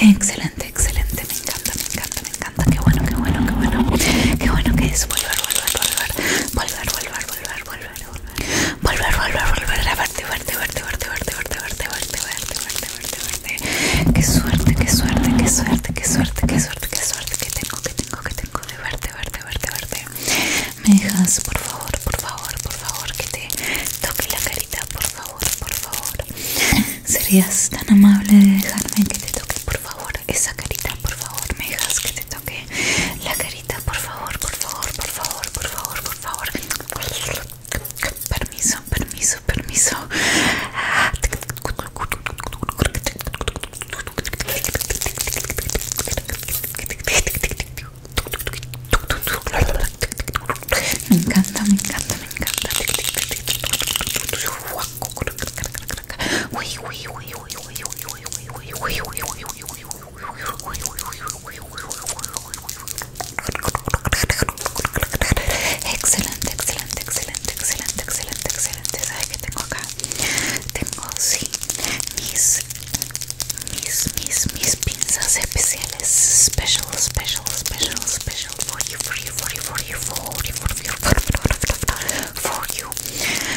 Excelente, excelente, me encanta, me encanta, me encanta, qué bueno, qué bueno, qué bueno, qué bueno que es volver, volver, volver, volver, volver, volver, volver, volver a verte, verte, verte, verte, verte, verte, verte, verte, verte, Qué suerte, qué suerte, qué suerte, qué suerte, qué suerte, qué suerte que tengo, que tengo, que tengo de verte, verte, verte, Me dejas, por favor, por favor, por favor, que te toque la carita, por favor, por favor. Serías tan amable de dejarme que te toque, por favor, esa carita, por favor, me dejas que te toque la carita por favor, por favor, por favor, por favor, por favor. Permiso, permiso, permiso. Me encanta, me encanta, me encanta. Excelente, excelente, excelente, excelente, excelente, excelente. ¿Sabes qué tengo acá? Tengo, sí, mis, mis, mis, mis pinzas especiales. Special, special, special, special. For you, for you, for you, for you, for you, for you, for you, for you, for you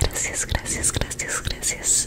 gracias, gracias, gracias, gracias.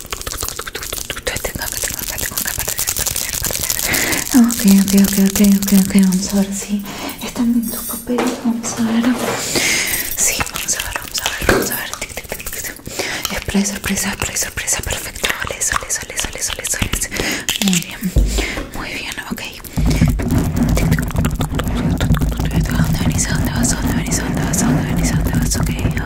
Ok, ok, ok, ok, vamos a ver si están bien papeles, vamos a ver. Sí, vamos a ver, vamos a ver, vamos a ver. Tic, sorpresa, sorpresa, perfecto. Vale, sale, sale, sale, Muy bien, muy bien, ok. vas? vas? vas? Ok,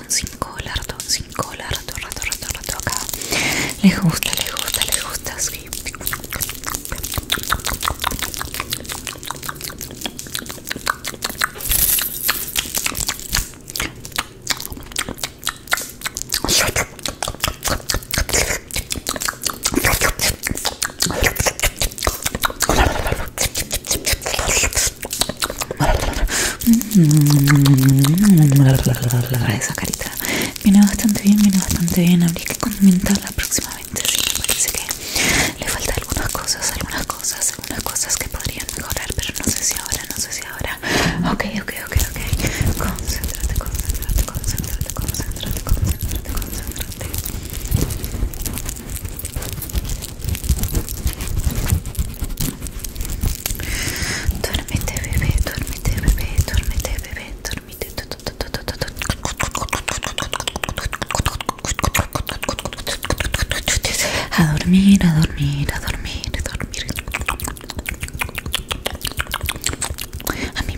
5 sin colarto, sin rato, todo, rato, acá. Les gusta, les gusta, les gusta, sí. Esa carita viene bastante bien, viene bastante bien. Habría que condimentarla próximamente. Sí, me parece que le faltan algunas cosas, algunas cosas, algunas cosas que podrían mejorar, pero no sé si ahora, no sé si ahora. Ok, ok, ok, ok. Concéntrate, concéntrate, concéntrate, concéntrate, concéntrate, concéntrate. Duérmete bebé, duérmete bebé, duérmete bebé, duérmete A dormir, a dormir, a dormir, a dormir A mí,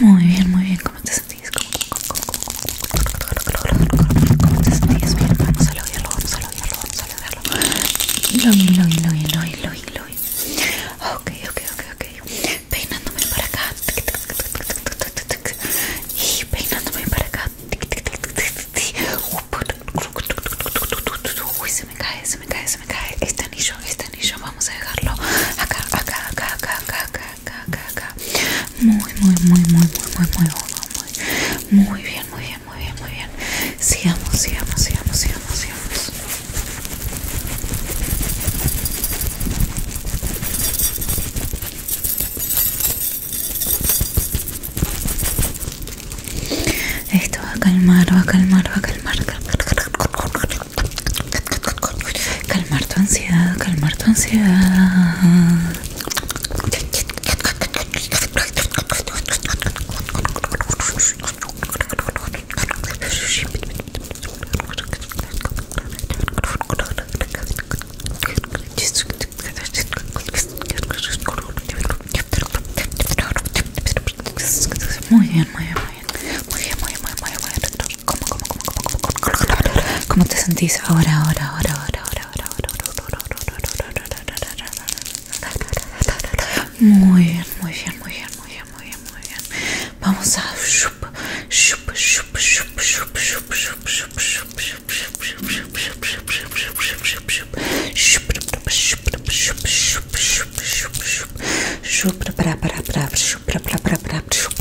Muy bien, muy bien. ¿Cómo te sentís? ¿Cómo, te sentís? Bien, vamos a verlo, vamos a lograrlo, vamos a Lo lo Ok, Peinándome para acá. Y peinándome para acá. Uy, se me cae, se me cae, se me cae. Este anillo, este anillo, vamos a dejarlo acá, acá, acá, acá, muy, muy, muy, muy, muy, muy, muy, muy, muy bien, muy bien, muy bien, muy bien. Sigamos, sigamos, sigamos, sigamos, Esto va a calmar, va a calmar, va a calmar calmar tu ansiedad, calmar tu ansiedad. Muy bien, muy bien, muy bien. Muy muy muy bien como cómo, cómo, cómo, cómo, cómo, te sentís ahora, ahora, ahora, ahora, ahora, ahora, ahora, Muy bien, muy bien, muy bien, muy bien, muy bien, muy bien. Vamos a shup shup shup. ahora, para para para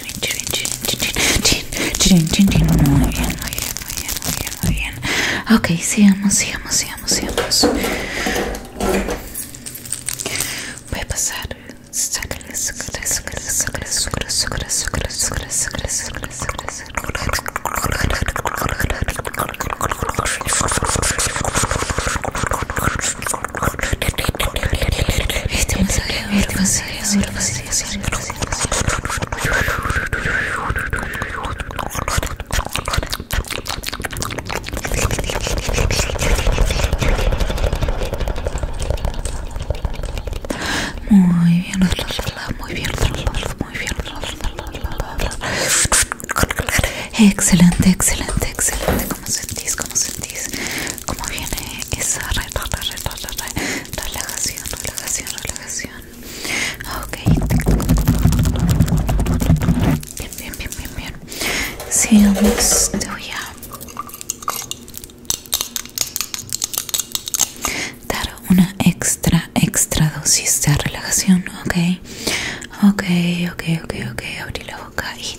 Muy bien, muy bien, muy bien, muy bien, Ok, sigamos, sigamos, sigamos, Voy a pasar. Este masaje muy bien, muy bien, muy bien. Excelente, excelente, excelente. ¿Cómo sentís? ¿Cómo sentís? como viene esa relajación, relajación, relajación. Ok. Bien, bien, bien, bien, bien. vamos, te voy a dar una extra, extra dosis de relajación, ok. Ok, ok, ok, ok. Abrí la boca y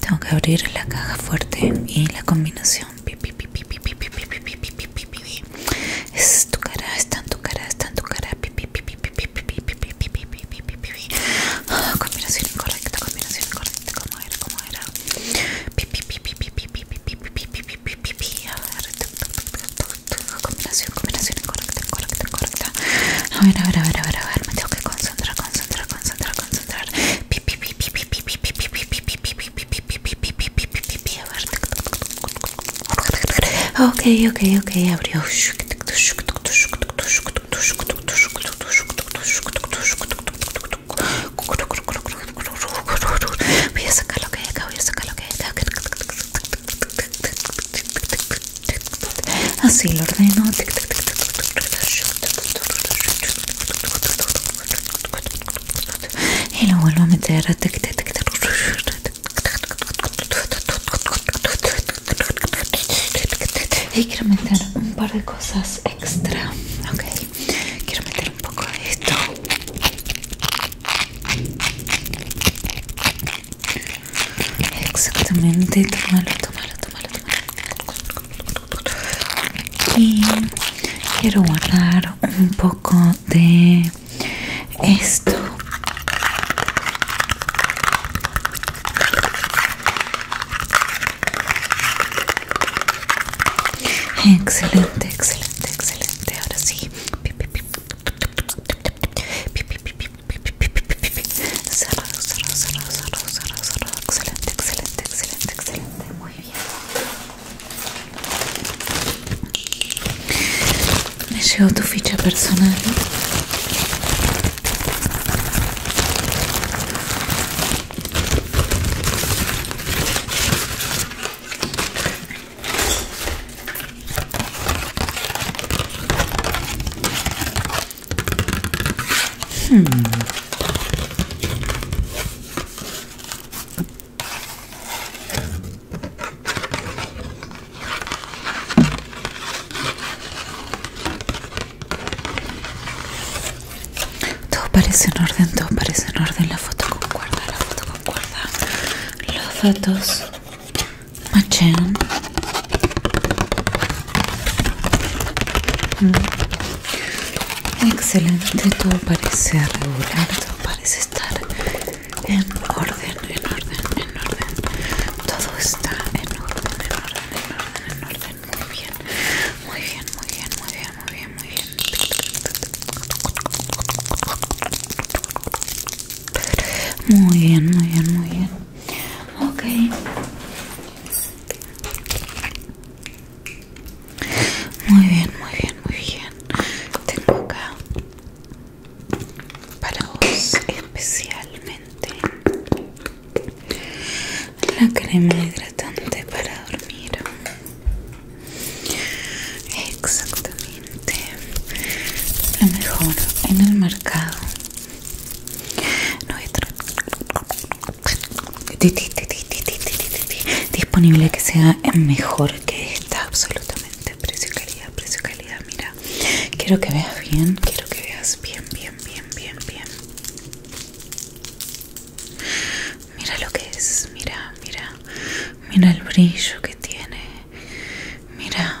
tengo que abrir la caja fuerte y la combinación. Es tu cara, está en tu cara, está en tu cara. combinación incorrecta, combinación incorrecta. como era? como era? combinación, combinación incorrecta, correcta, correcta A ver, a ver, a ver, a ver, a ver. Me tengo que concentrar, concentrar, concentrar, concentrar. Ok, ok, ok, abrió. voy a sacar lo que hay acá. Así lo ordeno. Y lo vuelvo a meter. Y quiero meter un par de cosas extra. Quiero meter un poco de esto. Exactamente, tómalo, tómalo, tómalo, Y quiero guardar un poco de esto. Excelente, excelente, excelente. Ahora sí. Cerrado, cerrado, cerrado, cerrado, cerrado, Excelente, excelente, excelente, excelente. Muy bien. Me llegó tu ficha personal. Todo parece en orden, todo parece en orden. La foto concuerda, la foto concuerda. Los datos Machan. Excelente, todo parece regular, todo parece estar en orden, en orden, en orden. Todo está en orden, en orden, en orden, en orden. Muy bien, muy bien, muy bien, muy bien, muy bien, muy bien. Muy bien, muy bien, muy bien. Ok. Muy bien, muy bien, muy bien. Tengo acá para vos especialmente la crema hidratante para dormir. Exactamente. Lo mejor en el mercado nuestro disponible que sea mejor que esta absolutamente precio calidad precio calidad mira quiero que veas bien quiero que veas bien bien bien bien bien mira lo que es mira mira mira el brillo que tiene mira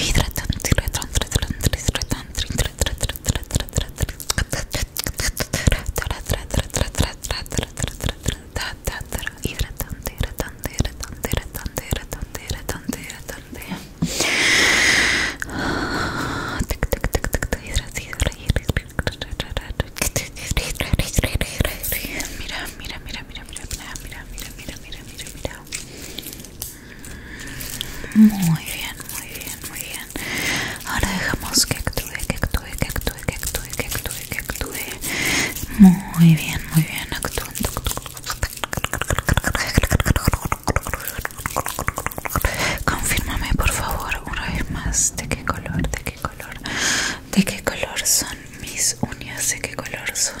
hidratante, hidratante, mira, mira, mira muy bien, muy bien, muy bien. Ahora dejamos que actúe, que actúe, que actúe, que actúe, que actúe, que actúe. Muy bien, muy bien, actuando. confirmame por favor una vez más de qué color, de qué color, de qué color son mis uñas, de qué color son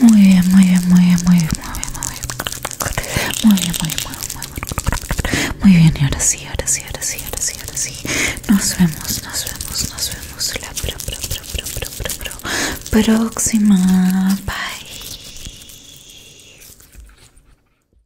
Muy bien, muy bien, muy bien, muy bien, muy bien, muy bien, muy bien, muy muy bien, y ahora sí, ahora sí, ahora sí, ahora sí, ahora sí, nos vemos, nos vemos, nos vemos la próxima, bye.